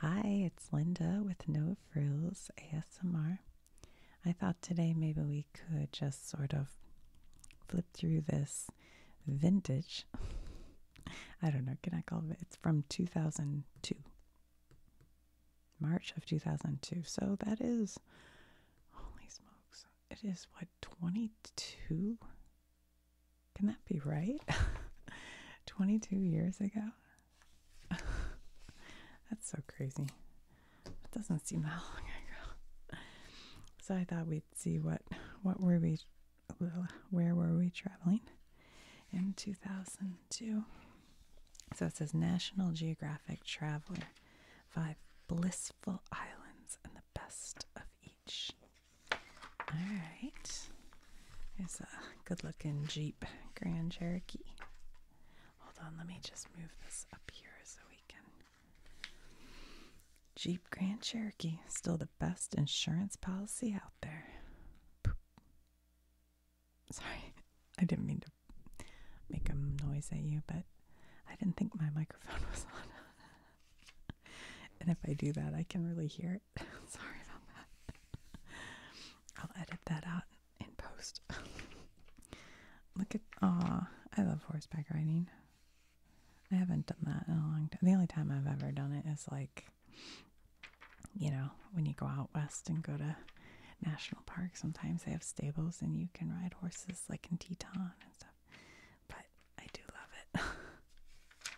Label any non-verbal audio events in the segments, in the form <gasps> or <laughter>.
Hi, it's Linda with No Frills ASMR. I thought today maybe we could just sort of flip through this vintage. <laughs> I don't know, can I call it? It's from 2002. March of 2002. So that is, holy smokes, it is what, 22 can that be right? <laughs> 22 years ago? <laughs> That's so crazy. It doesn't seem that long ago. So I thought we'd see what what were we where were we traveling in 2002. So it says National Geographic Traveler, five blissful islands and the best of each. All right. There's a good looking Jeep Grand Cherokee. Hold on, let me just move this up here so we can. Jeep Grand Cherokee, still the best insurance policy out there. Sorry, I didn't mean to make a noise at you, but I didn't think my microphone <laughs> was on. and if I do that, I can really hear it. <laughs> Sorry about that. I'll edit that out in post. <laughs> Look at ah, I love horseback riding. I haven't done that in a long time. The only time I've ever done it is like, you know, when you go out west and go to national parks. sometimes they have stables and you can ride horses like in Teton and stuff. But I do love it. <laughs>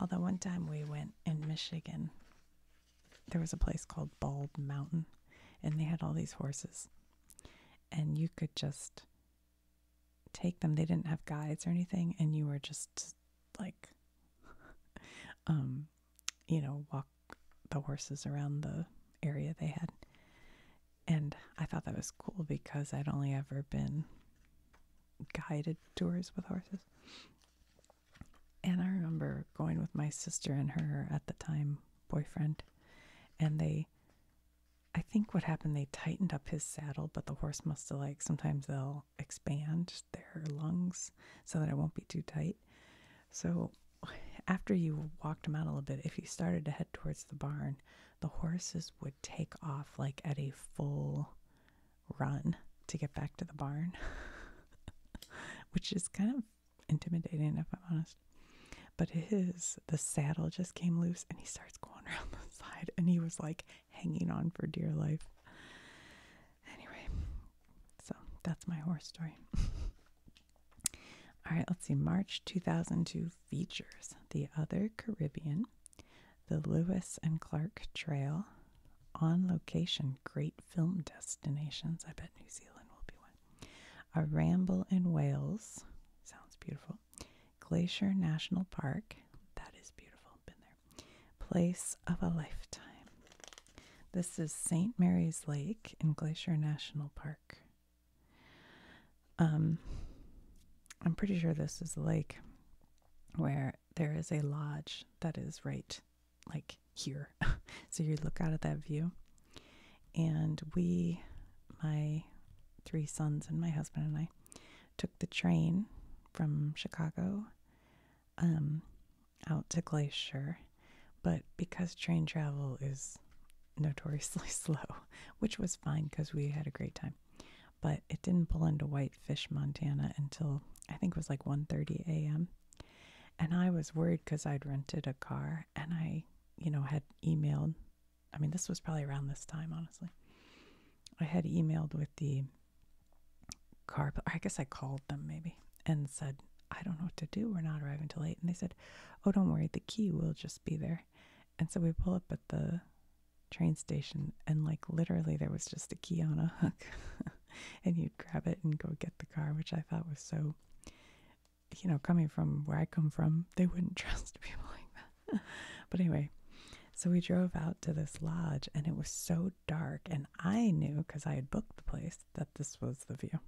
Although one time we went in Michigan, there was a place called Bald Mountain, and they had all these horses. And you could just take them. They didn't have guides or anything, and you were just like, <laughs> um, you know, walk the horses around the area they had. And I thought that was cool because I'd only ever been guided tours with horses. And I remember going with my sister and her at the time boyfriend, and they, I think what happened, they tightened up his saddle, but the horse must have like sometimes they'll expand their lungs so that it won't be too tight. So after you walked him out a little bit, if he started to head towards the barn, the horses would take off like at a full run to get back to the barn, <laughs> which is kind of intimidating if I'm honest. But his, the saddle just came loose and he starts going <laughs> around the side and he was like hanging on for dear life. Anyway, so that's my horse story. <laughs> All right, let's see. March 2002 features The Other Caribbean, the Lewis and Clark Trail, on location, great film destinations. I bet New Zealand will be one. A ramble in Wales, sounds beautiful. Glacier National Park, that is beautiful, been there. Place of a lifetime. This is St. Mary's Lake in Glacier National Park. Um, I'm pretty sure this is a lake where there is a lodge that is right like here. <laughs> so you look out at that view. And we, my three sons and my husband and I, took the train from Chicago um, out to Glacier. But because train travel is notoriously <laughs> slow, which was fine because we had a great time, but it didn't pull into Whitefish, Montana until I think it was like 1:30 a.m. And I was worried cuz I'd rented a car and I, you know, had emailed I mean, this was probably around this time, honestly. I had emailed with the car, I guess I called them maybe and said, I don't know what to do. We're not arriving till late. And they said, Oh, don't worry. The key will just be there. And so we pull up at the train station and like literally there was just a key on a hook <laughs> and you'd grab it and go get the car which i thought was so you know coming from where i come from they wouldn't <laughs> trust people like that <laughs> but anyway so we drove out to this lodge and it was so dark and i knew because i had booked the place that this was the view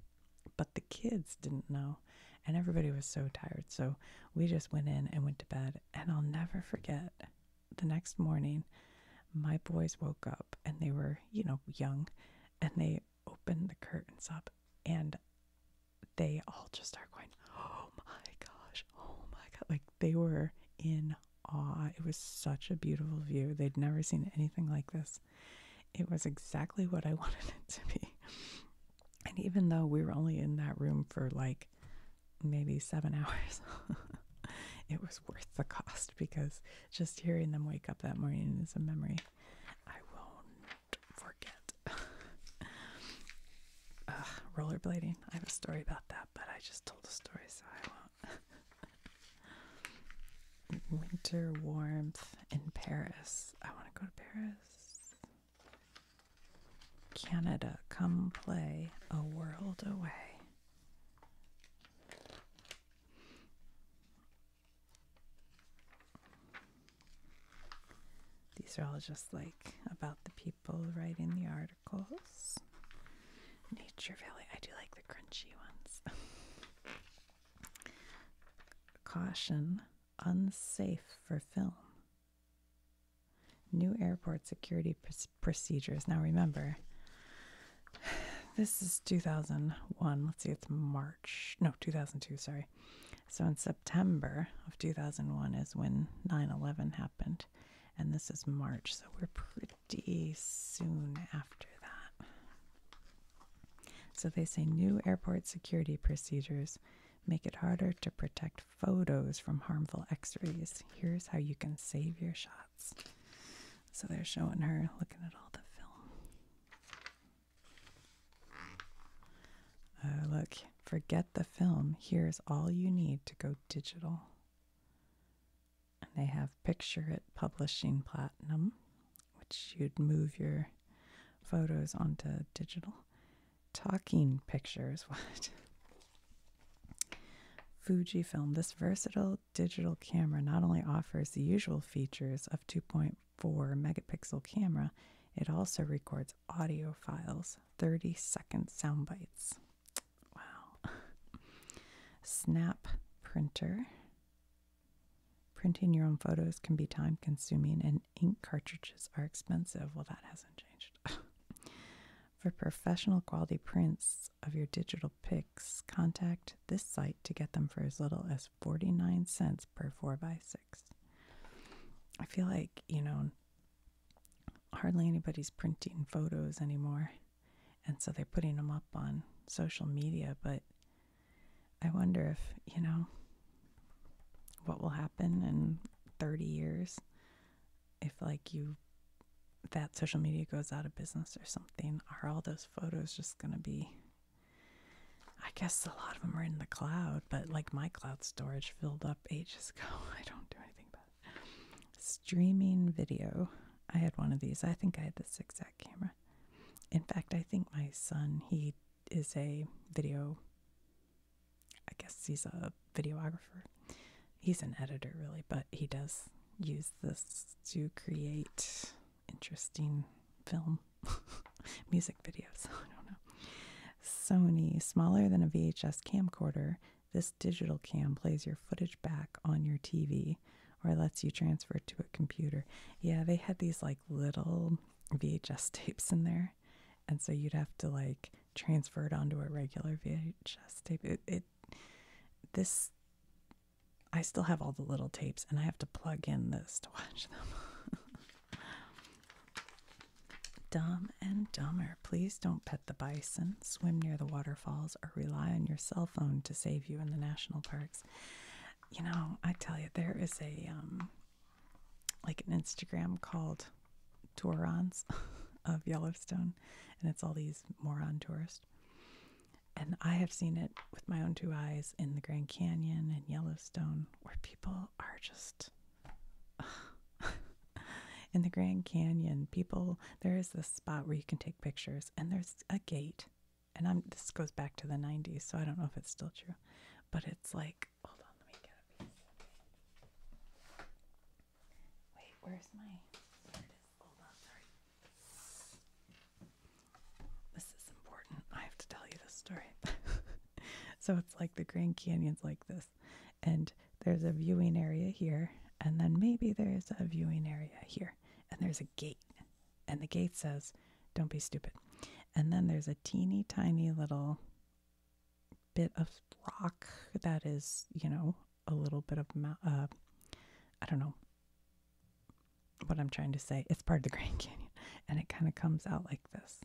but the kids didn't know and everybody was so tired so we just went in and went to bed and i'll never forget the next morning, my boys woke up and they were, you know, young and they opened the curtains up and they all just started going, Oh my gosh, oh my God. Like they were in awe. It was such a beautiful view. They'd never seen anything like this. It was exactly what I <laughs> wanted it to be. And even though we were only in that room for like maybe seven <laughs> hours. it was worth the cost because just hearing them wake up that morning is a memory I won't forget. <laughs> rollerblading. I have a story about that, but I just told a story, so I won't. <laughs> Winter warmth in Paris. I want to go to Paris. Canada, come play a world away. These are all just like about the people writing the articles. Nature Valley. I do like the crunchy ones. <laughs> Caution unsafe for film. New airport security procedures. Now remember, <sighs> this is 2001. Let's see, it's March. No, 2002, sorry. So in September of 2001 is when 9 11 happened. And this is March. So we're pretty soon after that. So they say new airport security procedures make it harder to protect photos from harmful x-rays. Here's how you can save your shots. So they're showing her looking at all the film. Oh, look, forget the film. Here's all you need to go digital. And they have Picture It Publishing Platinum, which you'd move your photos onto digital. Talking pictures, <laughs> what? Fujifilm. This versatile digital camera not only offers the usual features of 2.4 megapixel camera, it also records audio files, 30 second sound bites. Wow. <laughs> Snap printer. Printing your own photos can be time consuming and ink cartridges are expensive. Well, that hasn't changed. <laughs> For professional quality prints of your digital pics, contact this site to get them for as little as 49 cents per 4x6. I feel like, you know, hardly anybody's printing photos anymore, and so they're putting them up on social media, but I wonder if, you know, what will happen in 30 years if like you that social media goes out of business or something, are all those photos just going to be? I guess a lot of them are in the cloud, but like my cloud storage filled up ages <laughs> ago. I don't do anything about Streaming video. I had one of these. I think I had the zigzag camera. In fact, I think my son, he is a video I guess he's a videographer. He's an editor, really, but he does use this to create interesting film <laughs> music videos. <laughs> I don't know. Sony, smaller than a VHS camcorder, this digital cam plays your footage back on your TV or lets you transfer to a computer. Yeah, they had these like little VHS tapes in there. And so you'd have to like transferred onto a regular VHS tape. It, this I still have all the little tapes, and I have to plug in this to watch them. <laughs> Dumb and dumber. Please don't pet the bison, swim near the waterfalls, or rely on your cell phone to save you in the national parks. You know, I tell you, there is a um, like an Instagram called Tourons <laughs> of Yellowstone and it's all these moron tourists. And I have seen it with my own two eyes in the Grand Canyon and Yellowstone, where people are just. <laughs> in the Grand Canyon, people, there is this spot where you can take pictures, and there's a gate. And I'm this goes back to the 90s, so I don't know if it's still true. But it's like, hold on, let me get a piece. Wait, where's my? This is important. I have to tell you this story. <laughs> so it's like the Grand Canyon's like this, and there's a viewing area here, and then maybe there's a viewing area here, and there's a gate, and the gate says, "Don't be stupid." And then there's a teeny tiny little bit of rock that is, you know, a little bit of, uh, I don't know what I'm trying to say. It's part of the <laughs> Grand Canyon and it kind of comes out like this.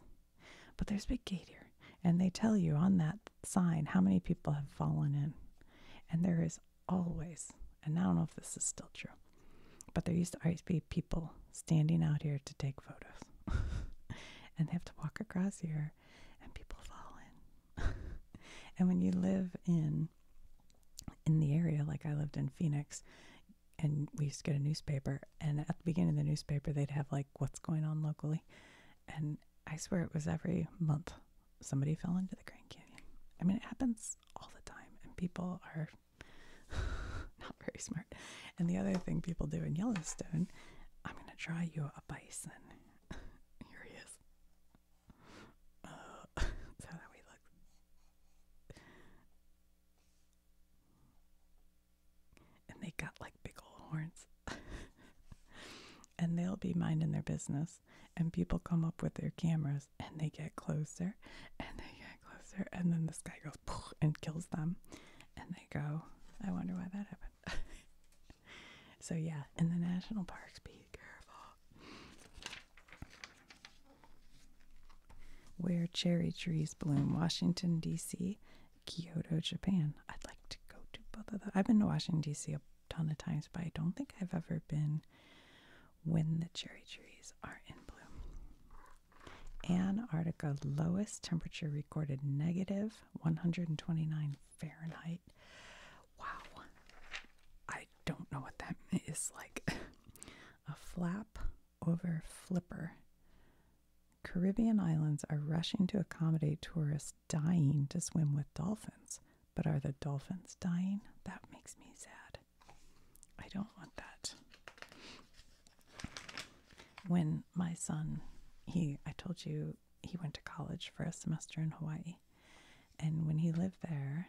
But there's a Big Gate here and they tell you on that sign how many people have fallen in. And there is always, and I don't know if this is still true, but there used to always be people standing out here to take photos. <laughs> and they have to walk across here and people fall in <laughs> and when you live in in the area, like I lived in Phoenix, and we used to get a newspaper, and at the beginning of the newspaper, they'd have like what's going on locally, and I swear it was every month somebody fell into the Grand Canyon. I mean, it happens all the time, and people are <laughs> not very smart. And the other thing people do in Yellowstone, I'm going to try you a bison. Here he is. Uh, <laughs> that's how that way he And they got like big old horns. <laughs> and they'll be minding their business. And people come up with their cameras and they get closer and they get closer. And then this guy goes <laughs> and kills them. And they go, I wonder why that happened so yeah, in the national parks, be careful. Where cherry trees bloom, Washington D.C., Kyoto, Japan. I'd like to go to both of those. I've been to Washington D.C. a ton of times, but I don't think I've ever been when the cherry trees are in bloom. Antarctica lowest temperature recorded negative 129 Fahrenheit. Wow. I don't know what that <laughs> is like. a flap over flipper. Caribbean islands are rushing to accommodate tourists dying to swim with dolphins. But are the dolphins dying? That makes me sad. I don't want that. When my son, he, I told you he went to college for a semester in Hawaii. And when he lived there,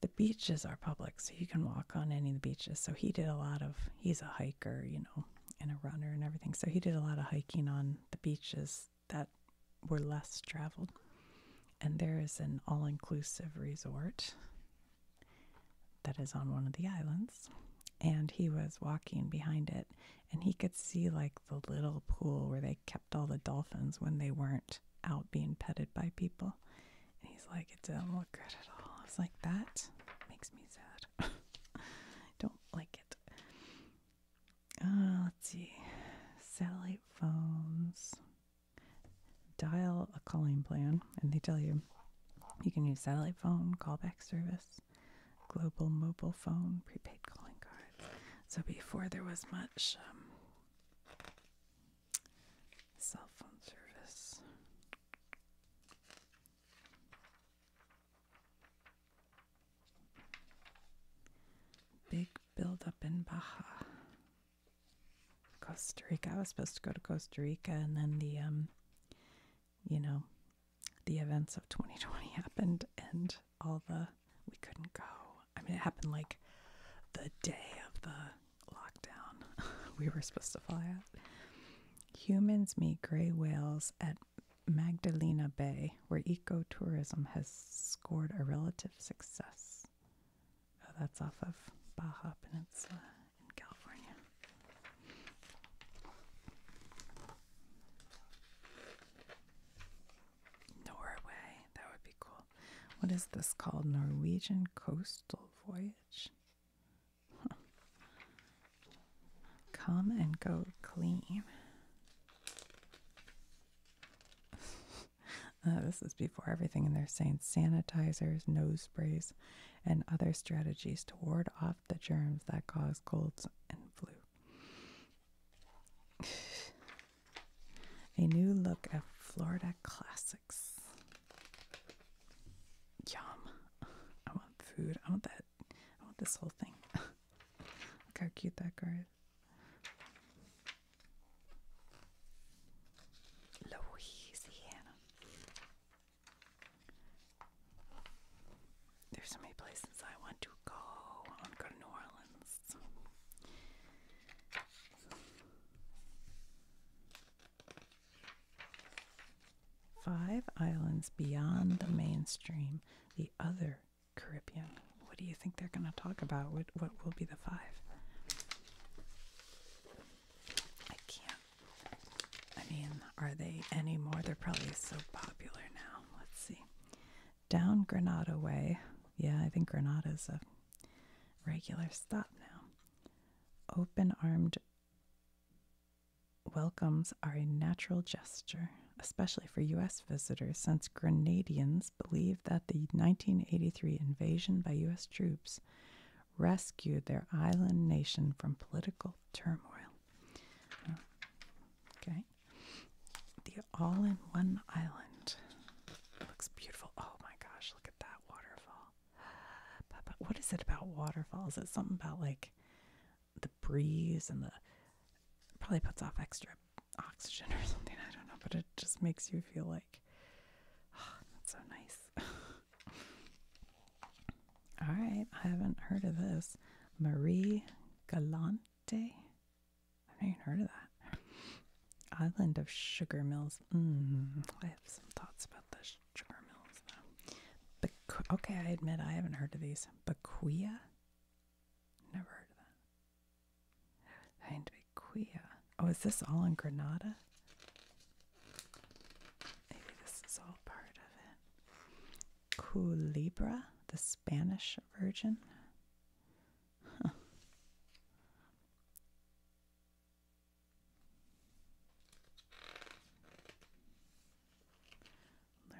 the beaches are public, so you can walk on any of the beaches. So he did a lot of he's a hiker, you know, and a runner and everything. So he did a lot of hiking on the beaches that were less traveled. And there is an all-inclusive resort that is on one of the islands, and he was walking behind it and he could see like the little pool where they kept all the dolphins when they weren't out being petted by people. And he's like, it didn't look good at all. It's like, that makes me sad. I <laughs> Don't like it. Uh, let's see. Satellite phones. Dial a calling plan, and they tell you you can use satellite phone, callback service, global mobile phone, prepaid calling cards. So before there was much um, cell phone service. Big buildup in Baja. Costa Rica. I was supposed to go to Costa Rica, and then the um, you know, the events of 2020 <laughs> happened and all the, we couldn't go. I mean, it happened like the day of the lockdown. <laughs> we were supposed to fly out. Humans meet gray whales at Magdalena Bay, where ecotourism has scored a relative success. Oh, that's off of Baja Peninsula in California. Norway, that would be cool. What is this called? Norwegian Coastal Voyage? Come and go clean. <laughs> Uh, this is before everything, and they're saying sanitizers, nose sprays, and other strategies to ward off the germs that cause colds and flu. <sighs> A new look at Florida classics. Yum. I want food. I want that. I want this whole thing. <laughs> Look how cute that card is. Louisiana. There's so many places I want to go. I want to go to New Orleans. Five islands beyond the mainstream, the other Caribbean. What do you think they're going to talk about? What, what will be the five? I can't I mean, are they any more? They're probably so popular now. Let's see. Down Granada Way. Yeah, I think Granada's a regular stop now. Open armed welcomes are a natural gesture, especially for U.S. visitors, since Grenadians believe that the 1983 invasion by U.S. troops rescued their island nation from political turmoil. Oh. Okay. The all in one island. Looks beautiful. Oh my gosh, look at that waterfall. <gasps> what is it about waterfalls? Is it something about like the breeze and the probably puts off extra oxygen or something? I don't know, but it just makes you feel like <sighs> that's so nice. <laughs> All right, I haven't heard of this. Marie Galante. I've not even heard of that. Island of Sugar Mills. Mm, I have some thoughts about the sugar mills, though. Bequ- okay, I admit I haven't heard of these. Bequia? Never heard of that. And Bequia. Oh, is this all in Granada? Maybe this is all part of it. Culebra, the Spanish Virgin.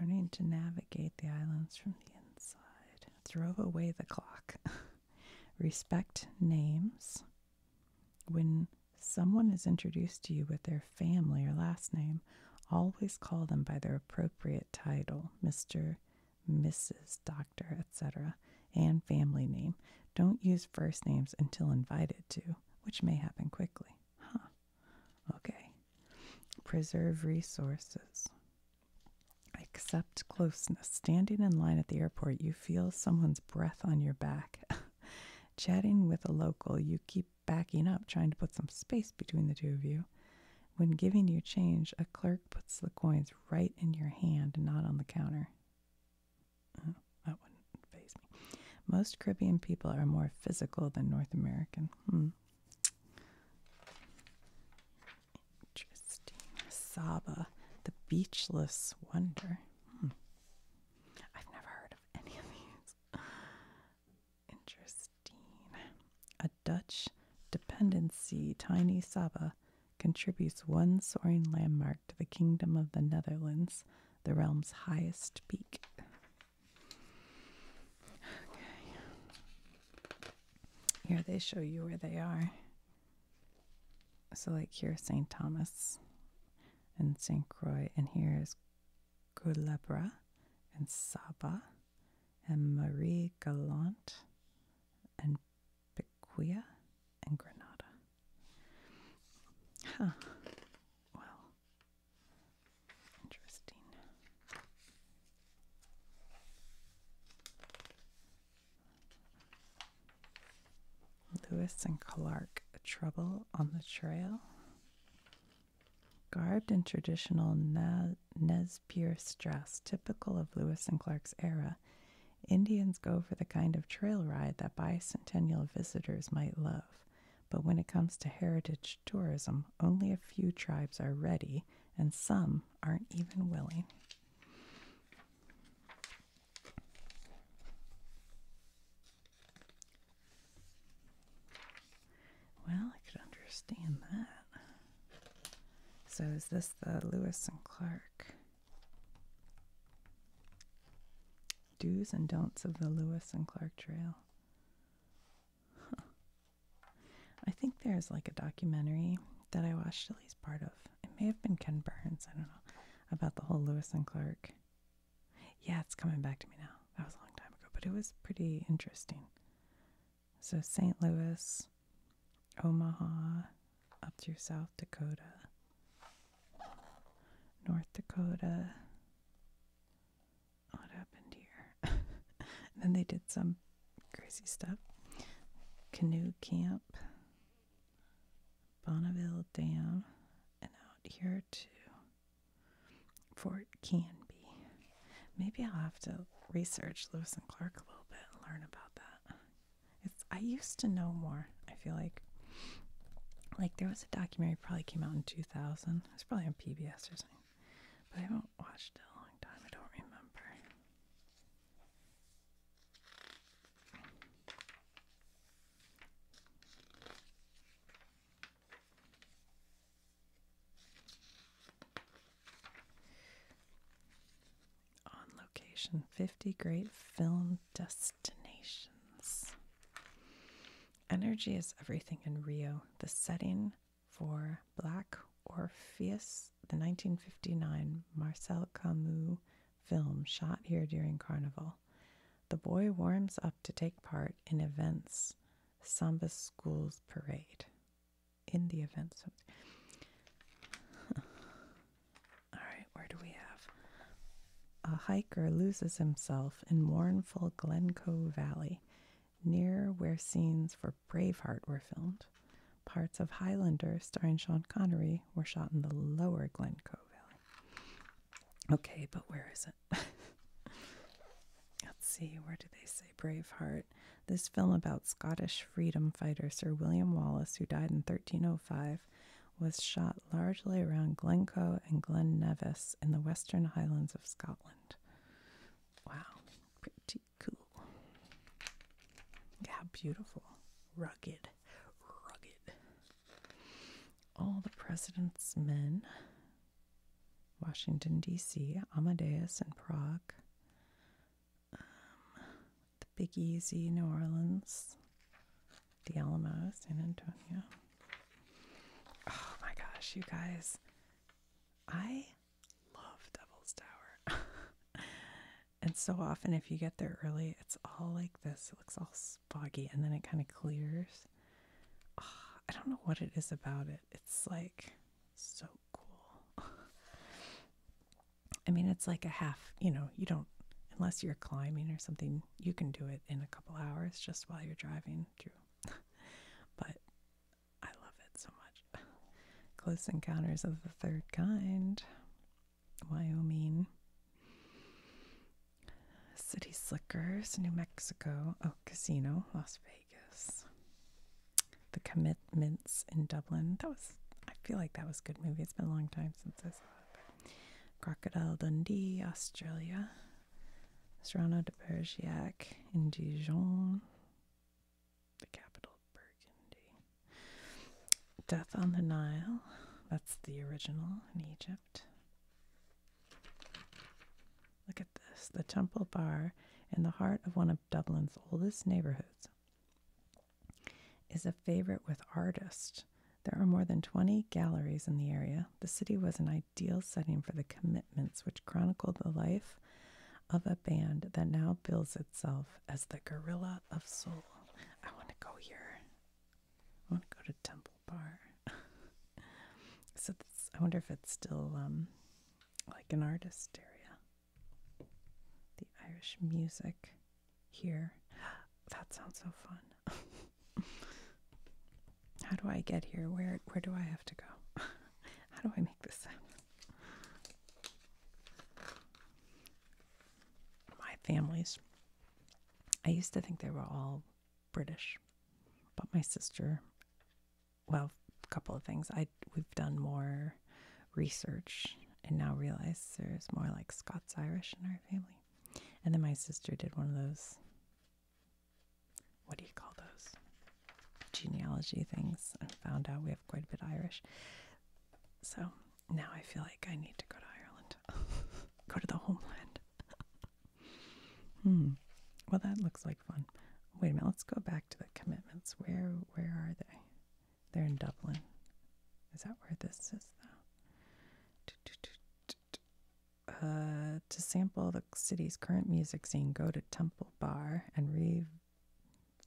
Learning to navigate the islands from the inside. Throw away the clock. <laughs> Respect names. When someone is introduced to you with their family or last name, always call them by their appropriate title, Mr., Mrs., Doctor, etc., and family name. Don't use first names until invited to, which may happen quickly. Huh. Okay. Preserve resources. Accept closeness. Standing in line at the airport, you feel someone's breath on your back. <laughs> Chatting with a local, you keep backing up, trying to put some space between the two of you. When giving you change, a clerk puts the coins right in your hand, not on the counter. Oh, that wouldn't phase me. Most Caribbean people are more physical than North American. Hmm. Interesting. Saba, the beachless wonder. Hmm. I've never heard of any of these. Interesting. A Dutch dependency, Tiny Saba, contributes one soaring landmark to the Kingdom of the Netherlands, the realm's highest peak. Here they show you where they are. So, like here, St. Thomas and St. Croix, and here is Gulebra, and Saba and Marie Galante and Piquia and Granada. Huh. Well, interesting. Lewis and Clark, Trouble on the Trail. Garbed in traditional Nez Perce dress typical of Lewis and Clark's era, Indians go for the kind of trail ride that bicentennial visitors might love. But when it comes to heritage tourism, only a few tribes are ready, and some aren't even willing. Well, I could understand that. So, is this the Lewis and Clark? Do's and don'ts of the Lewis and Clark Trail. I think there's like a documentary that I watched at least part of. It may have been Ken Burns, I don't know, about the whole Lewis and Clark yeah, it's coming back to me now. That was a long time ago, but it was pretty interesting. So, St. Louis, Omaha, up through South Dakota, North Dakota. What happened here? <laughs> then they did some crazy stuff. Canoe Camp, Bonneville Dam, and out here to Fort Canby, Maybe I'll have to research Lewis and Clark a little bit and learn about that. I used to know more. I feel like like there was a documentary probably came out in 2000. It's probably on PBS or something. But I haven't watched it in a long time. I don't remember. On location 50 great film destinations. Energy is everything in Rio, the setting for Black Orpheus, the 1959 Marcel Camus film shot here during Carnival. The boy warms up to take part in events, Samba School's parade. In the events. <laughs> All right, where do we have? A hiker loses himself in mournful Glencoe Valley, near where scenes for Braveheart were filmed. Parts of Highlander, starring Sean Connery, were shot in the lower Glencoe Valley. Okay, but where is it? <laughs> Let's see, where do they say Braveheart? This film about Scottish freedom fighter Sir William Wallace, who died in 1305, was shot largely around Glencoe and Glen Nevis in the western highlands of Scotland. Wow, pretty cool. How beautiful. Rugged, rugged. All the President's Men Washington, D.C., Amadeus in Prague, um, the Big Easy, New Orleans, the Alamo, San Antonio. Oh my gosh, you guys, I love Devil's Tower. <laughs> and so often, if you get there early, it's all like this it looks all foggy and then it kind of clears. I don't know what it is about it. It's like so cool. <laughs> I mean, it's like a half, you know, you don't, unless you're climbing or something, you can do it in a couple hours just while you're driving through. <laughs> but I love it so much. <sighs> Close Encounters of the Third Kind, Wyoming. City Slickers, New Mexico, oh, Casino, Las Vegas. The Commitments in Dublin. That was, I feel like that was a good movie. It's been a long time since I saw that. Crocodile Dundee, Australia. Serrano de Bergerac in Dijon. The capital, of Burgundy. Death on the Nile. That's the original in Egypt. Look at this the Temple Bar in the heart of one of Dublin's oldest neighborhoods is a favorite with artists. There are more than 20 galleries in the area. The city was an ideal setting for the commitments, which chronicled the life of a band that now bills itself as the Gorilla of Soul. I want to go here. I want to go to Temple Bar. <laughs> so I wonder if it's still um, like an artist area. The Irish music here. <gasps> That sounds so fun. <laughs> How do I get here? Where where do I have to go? <laughs> How do I make this My families. I used to think they were all British. But my sister, well, a couple of things. I we've done more research and now realize there's more like Scots Irish in our family. And then my sister did one of those what do you call those? Genealogy things and found out we have quite a bit Irish. So now I feel like I need to go to Ireland. <laughs> go to the homeland. <laughs> Hmm. Well, that looks like fun. Wait a minute. Let's go back to the commitments. Where where are they? They're in Dublin. Is that where this is though? Uh, to sample the city's current music scene, go to Temple Bar and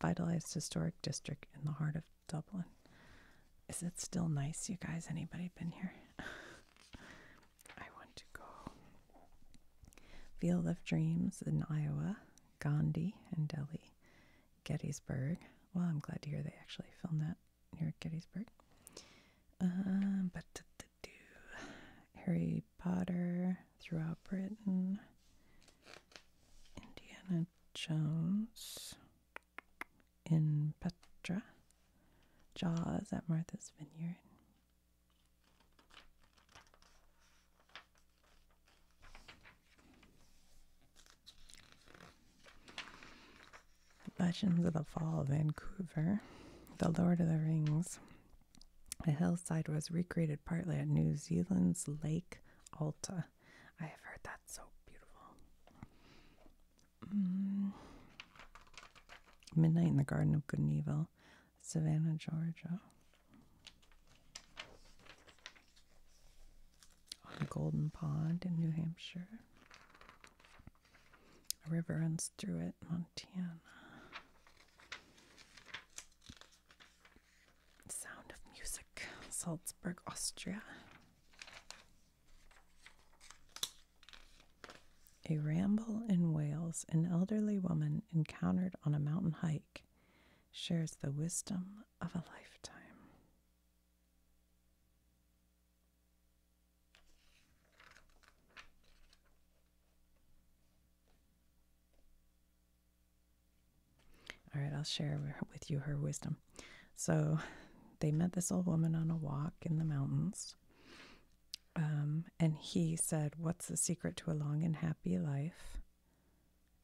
revitalize historic district in the heart of Dublin. Is it still nice, you guys? Anybody been here? <laughs> I want to go Field of Dreams in Iowa, Gandhi in Delhi, Gettysburg. Well, I'm glad to hear they actually filmed that near Gettysburg. Um, but Harry Potter throughout Britain, Indiana Jones, in Petra, Jaws at Martha's Vineyard. Legends of the Fall, Vancouver, The Lord of the Rings. The hillside was recreated partly at New Zealand's Lake Alta. I have heard that's so beautiful. Mm. Midnight in the Garden of Good and Evil, Savannah, Georgia. Golden Pond in New Hampshire. A river runs through it, Montana. Sound of Music, Salzburg, Austria. A ramble in Wales, an elderly woman encountered on a mountain hike shares the wisdom of a lifetime. All right, I'll share with you her wisdom. So, they met this old woman on a walk in the mountains. Um, and he said, What's the secret to a long and happy life?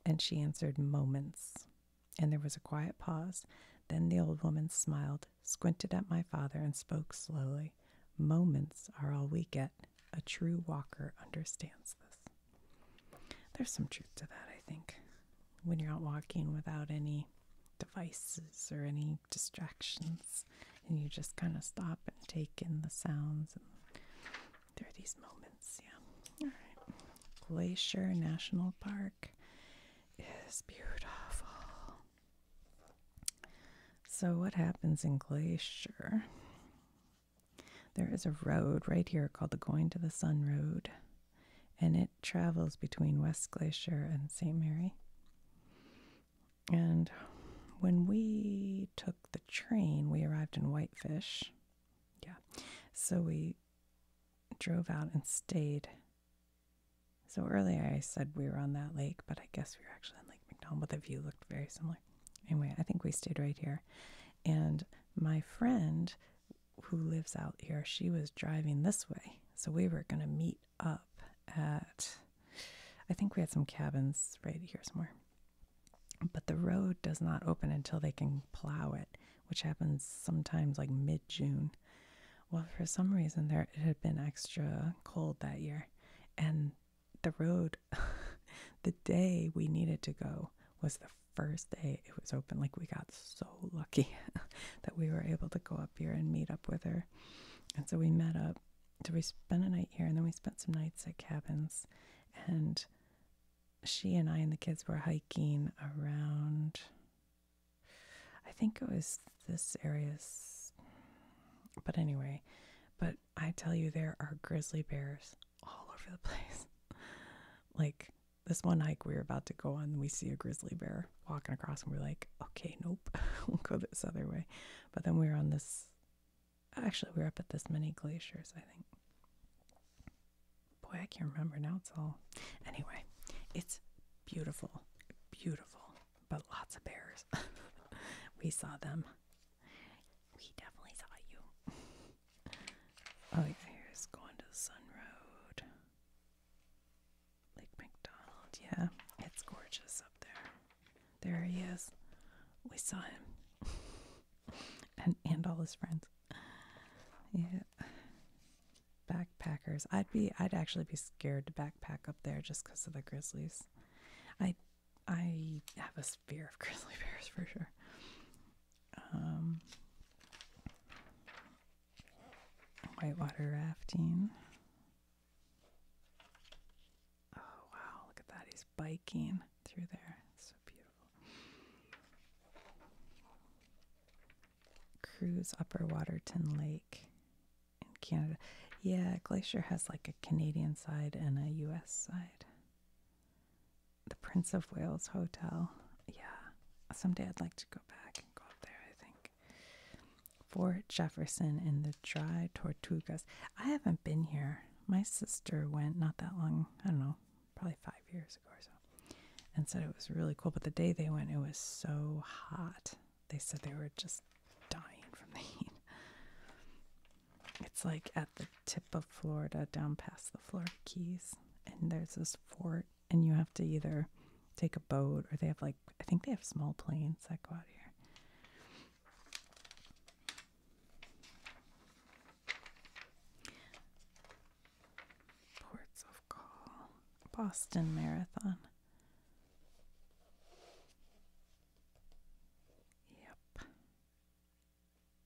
And she answered, Moments. And there was a quiet pause. Then the old woman smiled, squinted at my father, and spoke slowly. Moments are all we get. A true walker understands this. There's some truth to that, I think. When you're out walking without any devices or any distractions and you just kind of stop and take in the sounds and there are these moments yeah glacier national park is beautiful so what happens in glacier there is a road right here called the going to the sun road and it travels between West Glacier and St. Mary. And when we took the train, we arrived in Whitefish. Yeah. So we drove out and stayed. So earlier I said we were on that lake, but I guess we were actually on Lake McDonald, but the view looked very similar. Anyway, I think we stayed right here. And my friend who lives out here, she was driving this way. So we were going to meet up at, I think we had some cabins right here somewhere. But the road does not open until they can plow it, which happens sometimes like mid June. Well, for some reason, there it had been extra cold that year, and the road, <laughs> the day we needed to go, was the first day it was open. Like, we got so lucky <laughs> that we were able to go up here and meet up with her and so we met up. So we spent a night here and then we spent some nights at cabins. And she and I and the kids were hiking around, I think it was this area. But anyway, but I tell you, there are grizzly bears all over the <laughs> place. like this one hike we were about to go on, we see a grizzly bear walking across and we are like, okay, nope, <laughs> we'll go this other way. But then we are on this, actually, we are up at this many glaciers, I think. Boy, I can't remember now. It's all, anyway, it's beautiful, beautiful, but lots of bears. <laughs> we saw them. We definitely saw you. <laughs> oh, yeah, here's going to the Sun Road. Lake McDonald. Yeah, it's gorgeous up there. There he is. We saw him. <laughs> and and all his friends. Yeah. Backpackers. I'd be I'd actually be scared to backpack up there just cuz of the grizzlies. I I have a fear of <laughs> grizzly bears for sure. Um Whitewater rafting. Oh, wow, look at that. He's biking through there. It's so beautiful. Cruise Upper Waterton Lake in Canada. Yeah, Glacier has like a Canadian side and a U.S. side. The Prince of Wales Hotel. Yeah, someday I'd like to go back and go up there, I think. Fort Jefferson, and the Dry Tortugas. I haven't been here. My sister went not that long, I don't know, probably five years ago or so, and said it was really cool. But the day they went, it was so hot. They said they were just dying from the heat. It's like at the tip of Florida, down past the Florida Keys, and there's this fort and you have to either take a boat or they have like I think they have small planes that go out here. Ports of Call, Boston Marathon. Yep.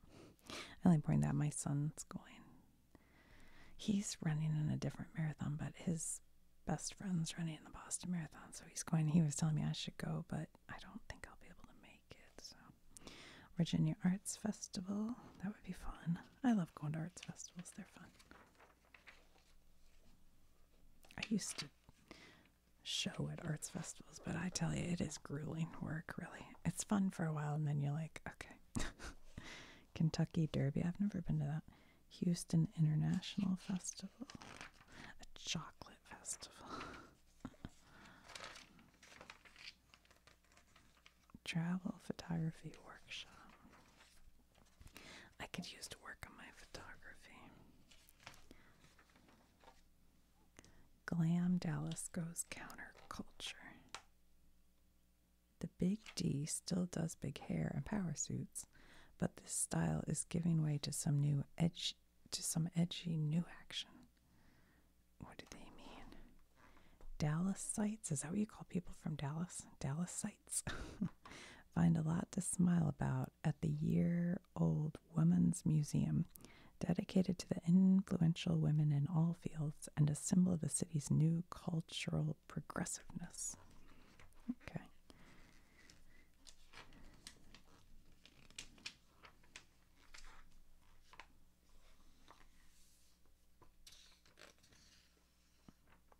<laughs> I only bring that my son's going he's running in a different marathon, but his best friend's running in the Boston Marathon, so he's going. He was telling me I should go, but I don't think I'll be able to make it. Virginia Arts Festival, that would be fun. I love going to arts festivals; they're fun. I used to show at arts festivals, but I tell you, it is grueling work. Really, it's fun for a while, and then you're like, okay. <laughs> Kentucky Derby. I've never been to that. Houston International Festival, a chocolate festival. <laughs> Travel photography workshop. I could use to work on my photography. Glam Dallas Goes Counterculture. The Big D still does big hair and power suits, but this style is giving way to some new edge to some edgy new action. What do they mean? Dallas sites? Is that what you call people from Dallas? Dallas sites? <laughs> Find a lot to smile about at the year old Women's Museum, dedicated to the influential women in all fields and a symbol of the city's new cultural progressiveness. Okay.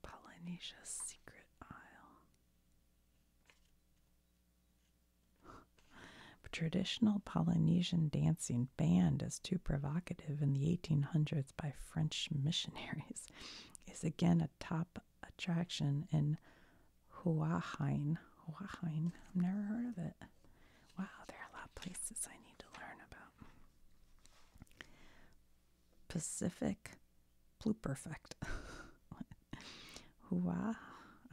Polynesia's secret isle. Traditional Polynesian dancing banned as too provocative in the 1800s by French missionaries is again a top attraction in Huahein. Huahein. I've never heard of it. Wow, there are a lot of places I need to learn about. Pacific Pluperfect. <laughs> Hua.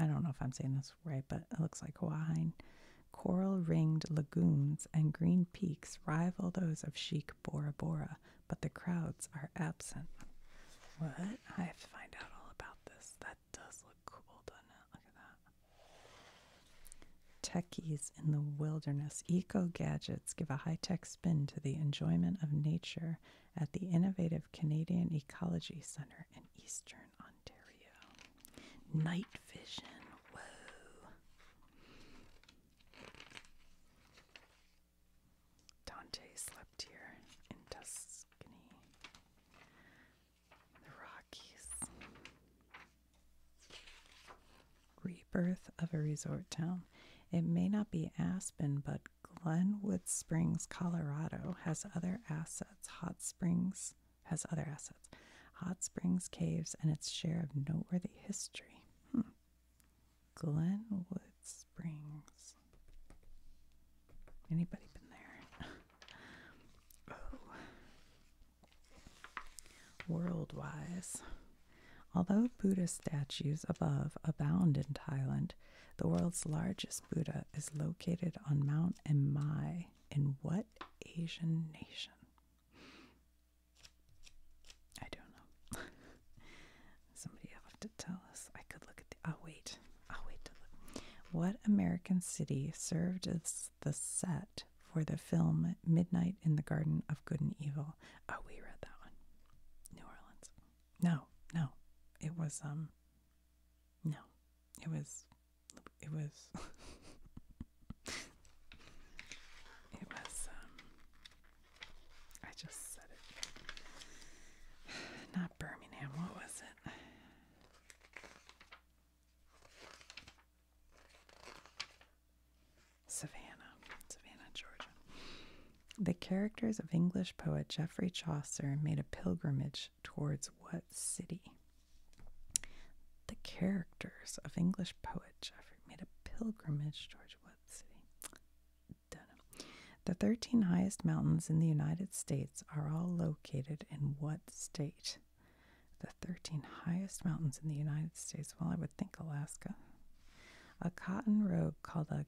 I don't know if I'm saying this right, but it looks like Huahein. Coral ringed lagoons and green peaks rival those of chic Bora Bora but the crowds are absent. What? I have to find out all about this. That does look cool, doesn't it? Look at that. Techies in the wilderness. Eco gadgets give a high tech spin to the enjoyment of nature at the innovative Canadian Ecology Center in Eastern Ontario. Night vision. Whoa. Dante slept here in Tuscany, the Rockies. Rebirth of a resort town. It may not be Aspen, but Glenwood Springs, Colorado has other assets. Hot Springs has other assets. Hot Springs Caves and its share of noteworthy history. Hmm. Glenwood Springs. Anybody been there? <laughs> oh. World-wise. Although Buddhist statues above abound in Thailand, the world's largest Buddha is located on Mount Imai in what Asian nation? I don't know. <laughs> Somebody have to tell us. I could look at the. Oh wait, I'll wait to look. What American city served as the set for the film Midnight in the Garden of Good and Evil? Oh, we read that one. New Orleans. No, no, it was um. No, it was. It was. <laughs> it was um. I just said it. Not Birmingham, what was it? Savannah, Savannah, Georgia. The characters of English poet Geoffrey Chaucer made a pilgrimage towards what city? The characters of English poet Geoffrey made a pilgrimage towards the 13 highest mountains in the United States are all located in what state? The 13 highest mountains in the United States. Well, I would think Alaska. A cotton robe called a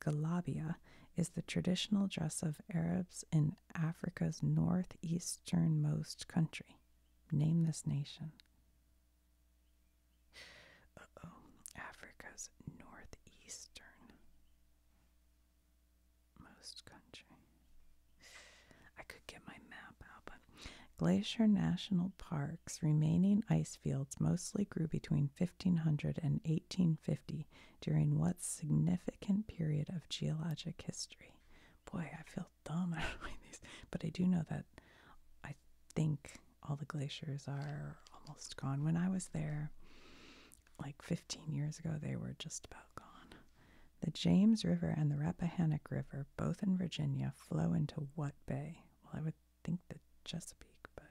galabia is the traditional dress of Arabs in Africa's northeasternmost country. Name this nation. Uh oh, Africa's northeastern most country. I could get my map out, but Glacier National Park's remaining ice fields mostly grew between 1500 and 1850 during what significant period of geologic history? Boy, I feel dumb. <laughs> but I do know that I think all the glaciers are almost gone. When I was there, like 15 years ago, they were just about gone. The James River and the Rappahannock River, both in Virginia, flow into what bay? Well, I would think the Chesapeake, but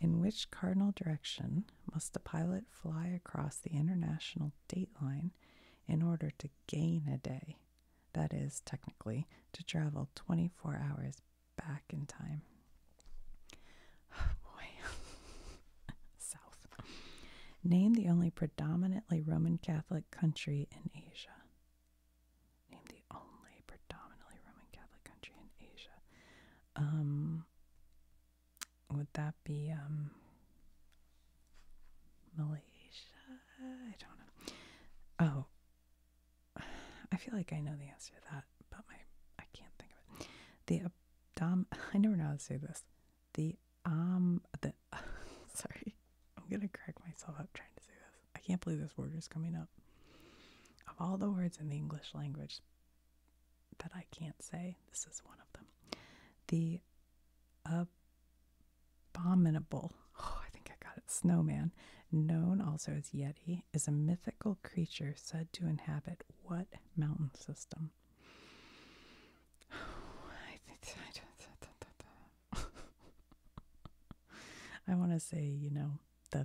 In which cardinal direction must a pilot fly across the international date line in order to gain a day? That is, technically, to travel 24 hours back in time. <sighs> Oh boy. <laughs> South. Name the only predominantly Roman Catholic country in Asia. Name the only predominantly Roman Catholic country in Asia. Um, would that be um, Malaysia? I don't know. Oh, I feel like I know the answer to that, but my I can't think of it. The abdom. <laughs> I never know how to say this. The um. The <laughs> sorry, I'm gonna crack myself up trying to say this. I can't believe this word is coming up. Of all the words in the English language that I can't say, this is one of them. The abominable, oh, I think I got it, snowman, known also as Yeti, is a mythical creature said to inhabit what mountain system? <sighs> I think I want to say, you know, the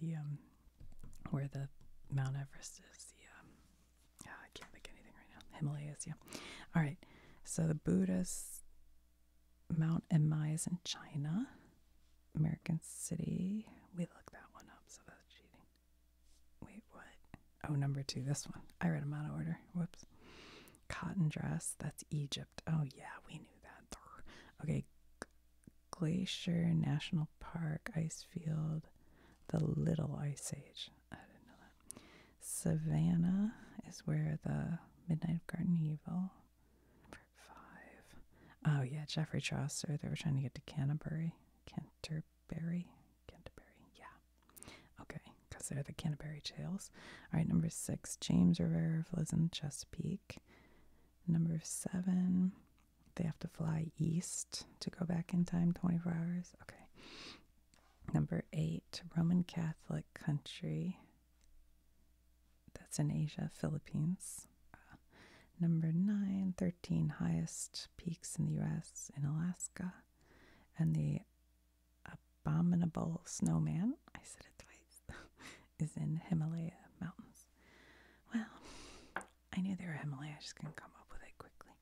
the um where the Mount Everest is. The um, ah, I can't think anything right now. Himalayas, yeah. All right. So the Buddha's Mount Emai is in China. American City. We looked that one up, so that's cheating. Wait, what? Oh, number two, this one. I read them out of order. Whoops. Cotton dress, that's Egypt. Oh, yeah, we knew that. Okay, Glacier National Park, ice field, the Little Ice Age. Savannah is where the Midnight of Garden Evil. five. Oh yeah, Geoffrey Chaucer. They were trying to get to Canterbury. Canterbury. Canterbury. Yeah. Okay, because they're the Canterbury Tales. All right, number six. James River lives in Chesapeake. Number seven. They have to fly east to go back in time 24 hours. Okay. Number eight, Roman Catholic country. That's in Asia, Philippines. Uh, number nine, 13 highest peaks in the US in Alaska. And the abominable snowman, I said it twice, <laughs> is in Himalaya mountains. Well, I knew there were Himalayas. I just couldn't come up with it quickly.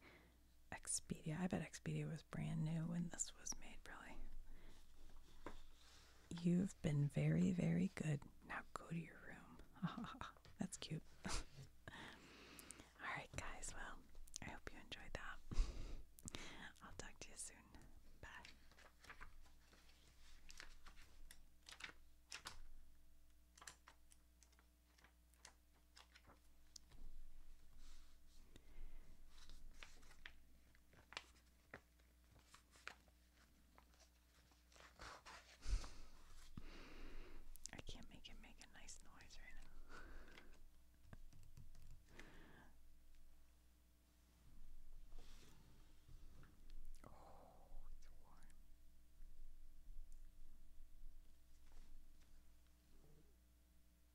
Expedia, I bet Expedia was brand new when this was made, probably. You've been very, very good. Now go to your room. <laughs> That's cute. <laughs> All right, guys. Well, I hope you enjoyed that. <laughs> I'll talk to you soon. Bye. I can't make it make a nice noise right now. oh, it's warm.